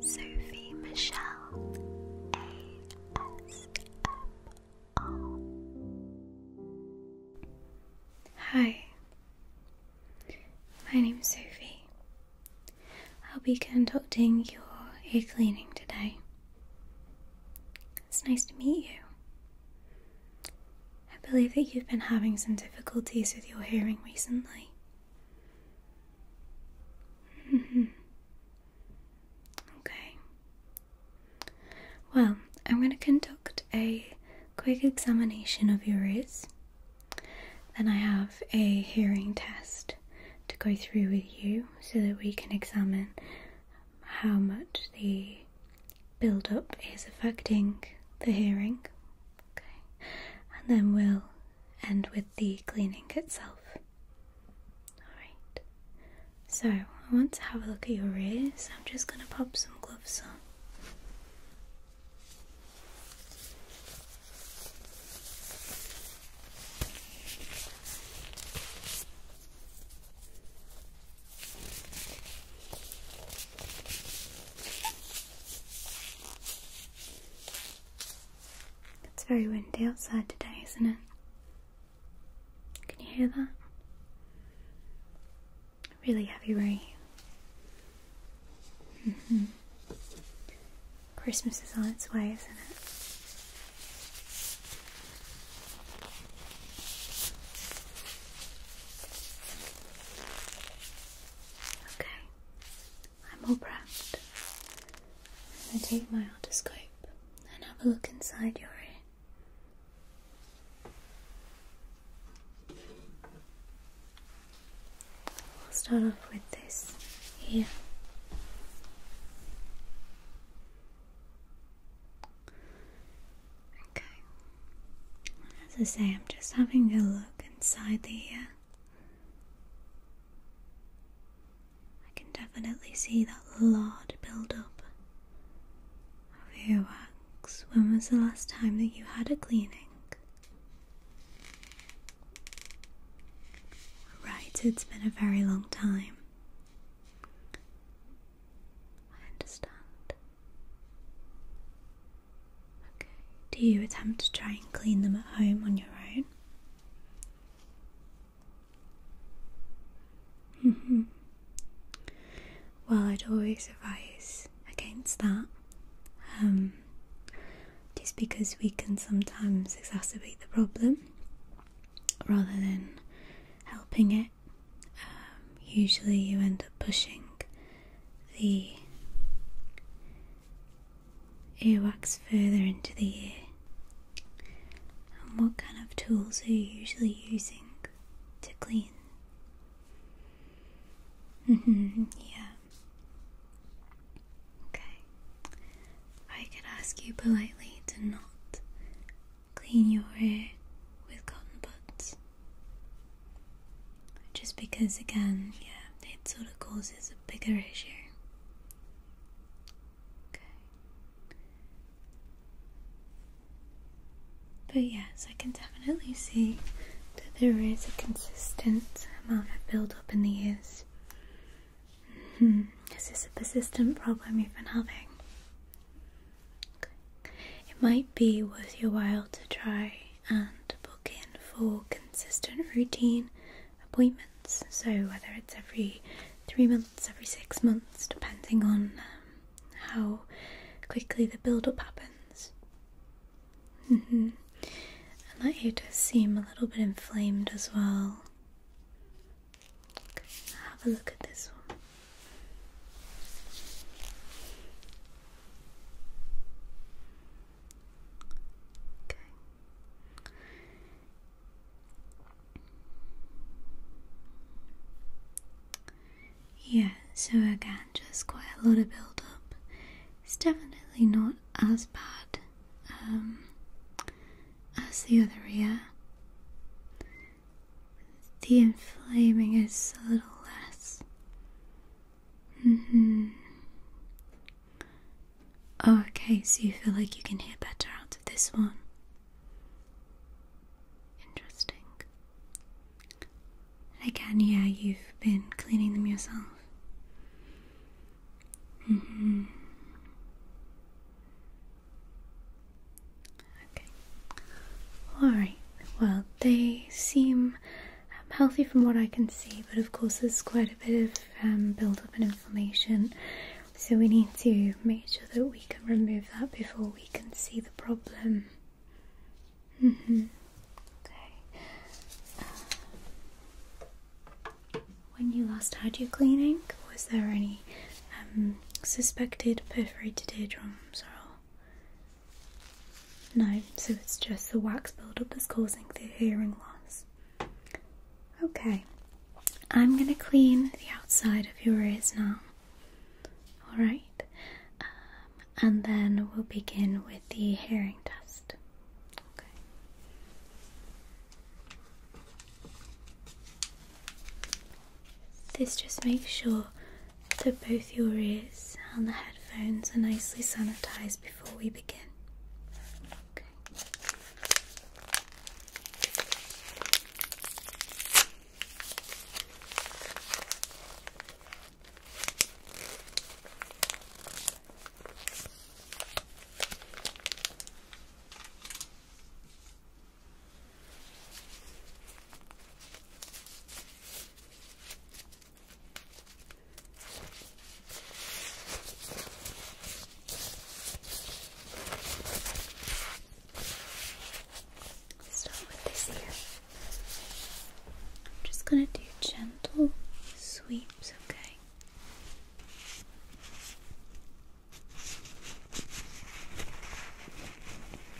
Sophie Michelle ASMR. Hi, my name's Sophie. I'll be conducting your ear cleaning today. It's nice to meet you. I believe that you've been having some difficulties with your hearing recently. okay. Well, I'm going to conduct a quick examination of your ears. Then I have a hearing test to go through with you so that we can examine how much the build up is affecting the hearing. Okay. And then we'll and with the cleaning itself. Alright, so I want to have a look at your ears. I'm just going to pop some gloves on. It's very windy outside today, isn't it? Can you hear that? Really heavy rain. Mm-hmm. Christmas is on its way, isn't it? Okay, I'm all prepped. I'm going to take my otoscope and have a look inside your ear. We'll start off with this here. Okay. As I say, I'm just having a look inside the ear. I can definitely see that lard build up of earwax. When was the last time that you had a cleaning? Right, it's been a very long time. I understand. Do you attempt to try and clean them at home on your own? Mm-hmm. Well, I'd always advise against that. Um, just because we can sometimes exacerbate the problem rather than helping it. Um, usually you end up pushing the earwax further into the ear? And what kind of tools are you usually using to clean? hmm yeah. Okay. I could ask you politely to not clean your ear with cotton buds. Just because, again, yeah, it sort of causes a bigger issue. But yes, I can definitely see that there is a consistent amount of build-up in the ears. Mm -hmm. This is a persistent problem you've been having. It might be worth your while to try and book in for consistent routine appointments. So, whether it's every three months, every six months, depending on um, how quickly the build up happens. Mm-hmm. and that ear does seem a little bit inflamed as well. have a look at this one. Yeah, so again, just quite a lot of build up. It's definitely not as bad um, as the other ear. The inflaming is a little less. Mm-hmm. Oh, okay, so you feel like you can hear better out of this one. Interesting. Again, yeah, you've been cleaning them yourself. Mm-hmm. Okay. Alright, well, they seem um, healthy from what I can see, but of course there's quite a bit of um, build-up and inflammation, so we need to make sure that we can remove that before we can see the problem. Mm-hmm. Uh, when you last had your cleaning, was there any um, suspected perforated eardrums or no, so it's just the wax buildup that's causing the hearing loss. Okay, I'm going to clean the outside of your ears now. Alright, um, and then we'll begin with the hearing test. Okay. This just makes sure to both your ears and the headphones are nicely sanitized before we begin. Start with this ear. I'm just going to do gentle sweeps, okay?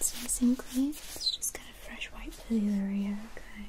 Once everything clean, let's just get a fresh white pillar here, okay?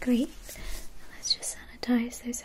Great. let's just sanitize those headphones.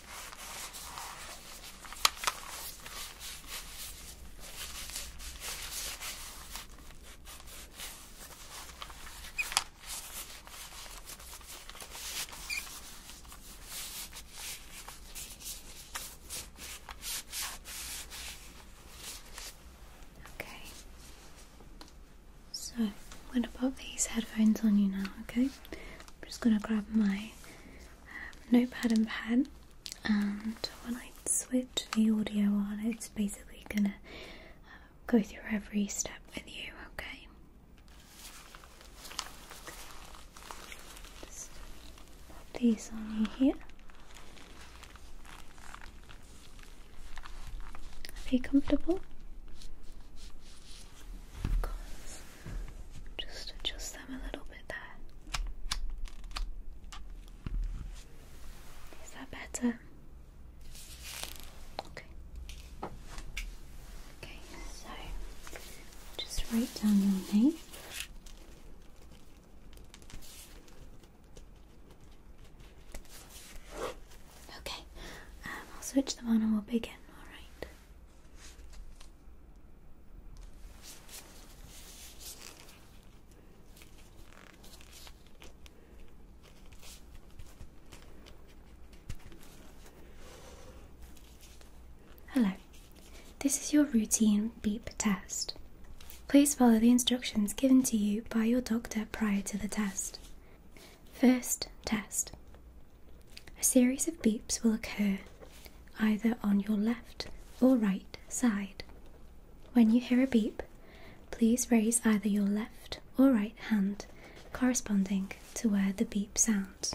Okay. So I'm gonna pop these headphones on you now, okay? I'm just gonna grab my notepad and pad, and when I switch the audio on it's basically gonna uh, go through every step with you okay pop these on you here are you comfortable just adjust them a little bit there. Is that better? Okay. Okay, so just write down your name. Okay, um, I'll switch them on and we'll begin, alright? Hello, this is your routine beep test. Please follow the instructions given to you by your doctor prior to the test. First test a series of beeps will occur either on your left or right side. When you hear a beep, please raise either your left or right hand corresponding to where the beep sounds.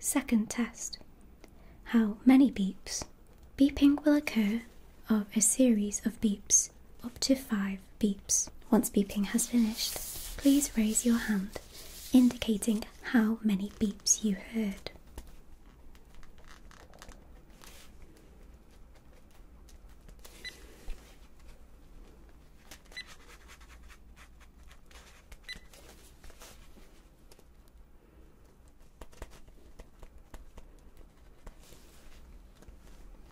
Second test How many beeps? Beeping will occur of a series of beeps, up to five beeps. Once beeping has finished, please raise your hand, indicating how many beeps you heard.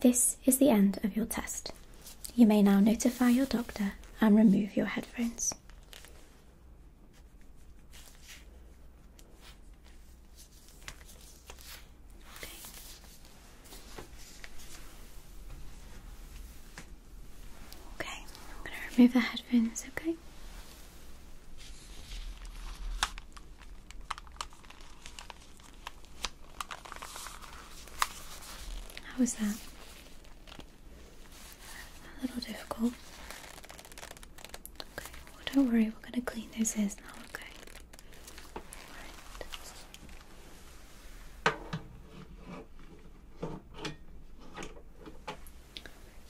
This is the end of your test. You may now notify your doctor and remove your headphones. Okay, I'm going to remove the headphones, okay? How was that? A little difficult. Okay, don't worry, we're going to clean those ears now, okay?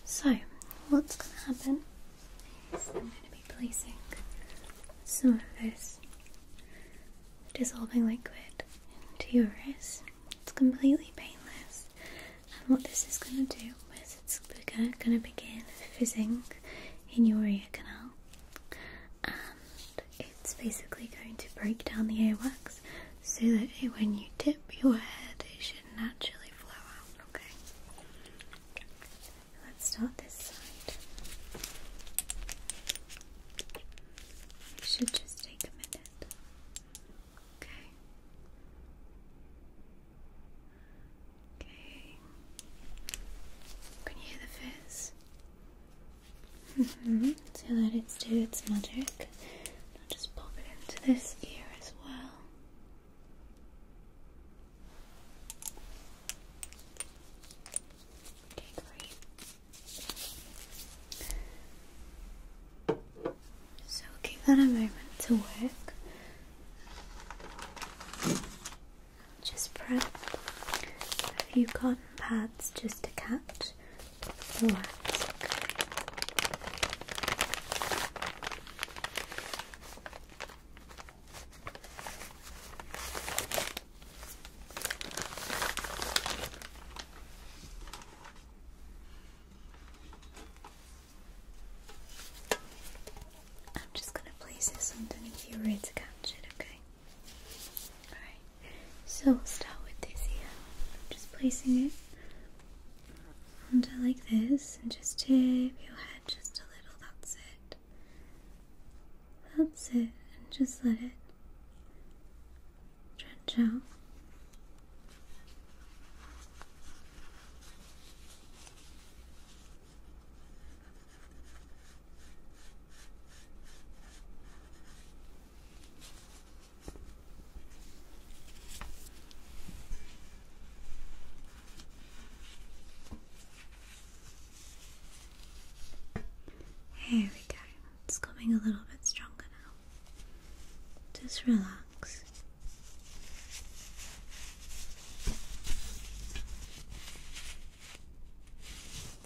So, what's going to happen is I'm going to be placing some of this dissolving liquid into your wrist. It's completely painless, and what this is going to do is it's going to begin fizzing in your ear canal, and it's basically going to break down the earwax so that when you tip your head, it should naturally flow out. Okay, let's start this side. It should just take a minute. Okay. Okay. Can you hear the fizz? Mm-hmm. So let it do its magic. I'll just pop it into this ear as well. Okay, great. So give that a moment to work. Just prep a few cotton pads just to catch I'm just going to place this underneath your ribs to catch it, okay? Alright. So we'll start with this here. I'm just placing it under like this and just tip your head just a little, that's it. That's it, and just let it drench out. Here we go. It's coming a little bit stronger now. Just relax. Okay,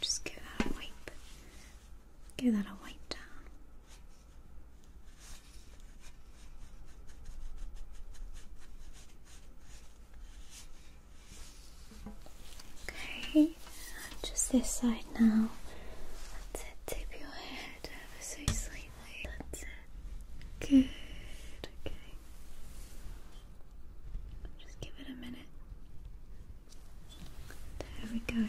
just give that a wipe. Give that a wipe down. Okay, just this side now. That's it. Tip your head ever so slightly. That's it. Good. Okay. Just give it a minute. There we go.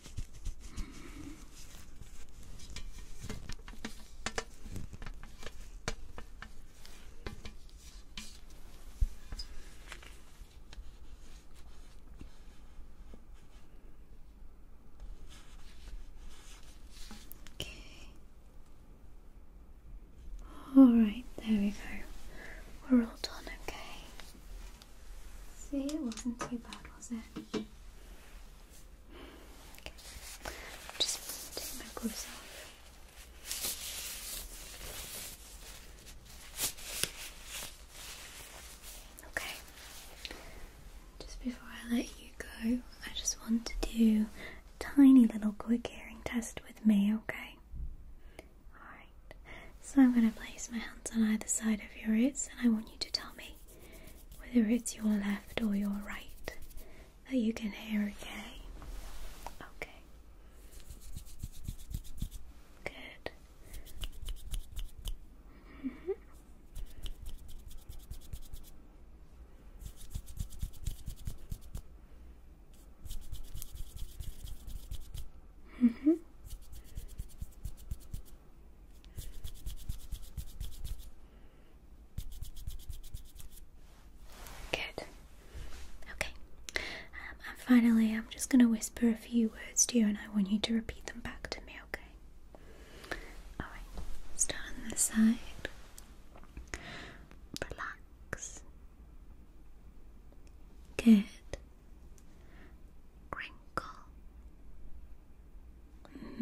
Okay. All right, there we go. We're all done, okay? See, it wasn't too bad, was it? Okay. Just take my gloves off. Okay. Just before I let you go, I just want to do tiny little quick hearing test with me, okay? Alright. So I'm going to place my hands on either side of your ears and I want you to tell me whether it's your left or your right, that you can hear okay. Okay. Good. -hmm. -hmm. Good. Okay. Um, and finally, I'm just going to whisper a few words to you, and I want you to repeat them back to me, okay? Alright, start on this side. Relax. Good. Wrinkle.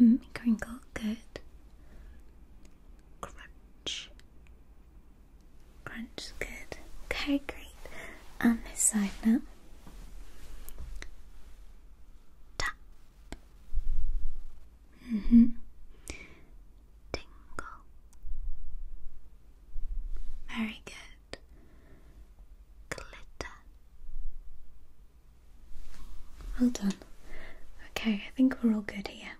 Mm-hmm. Crinkle, good. Crunch. Crunch, good. Okay, great. On um, this side now. Tap. Mm-hmm. Tingle. Very good. Glitter. Well done. Okay, I think we're all good here.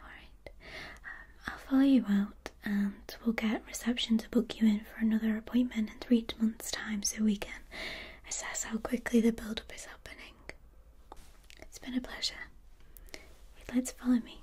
Alright, um, I'll follow you out and we'll get reception to book you in for another appointment in three months' time so we can assess how quickly the build up is happening. It's been a pleasure. You'd like to follow me?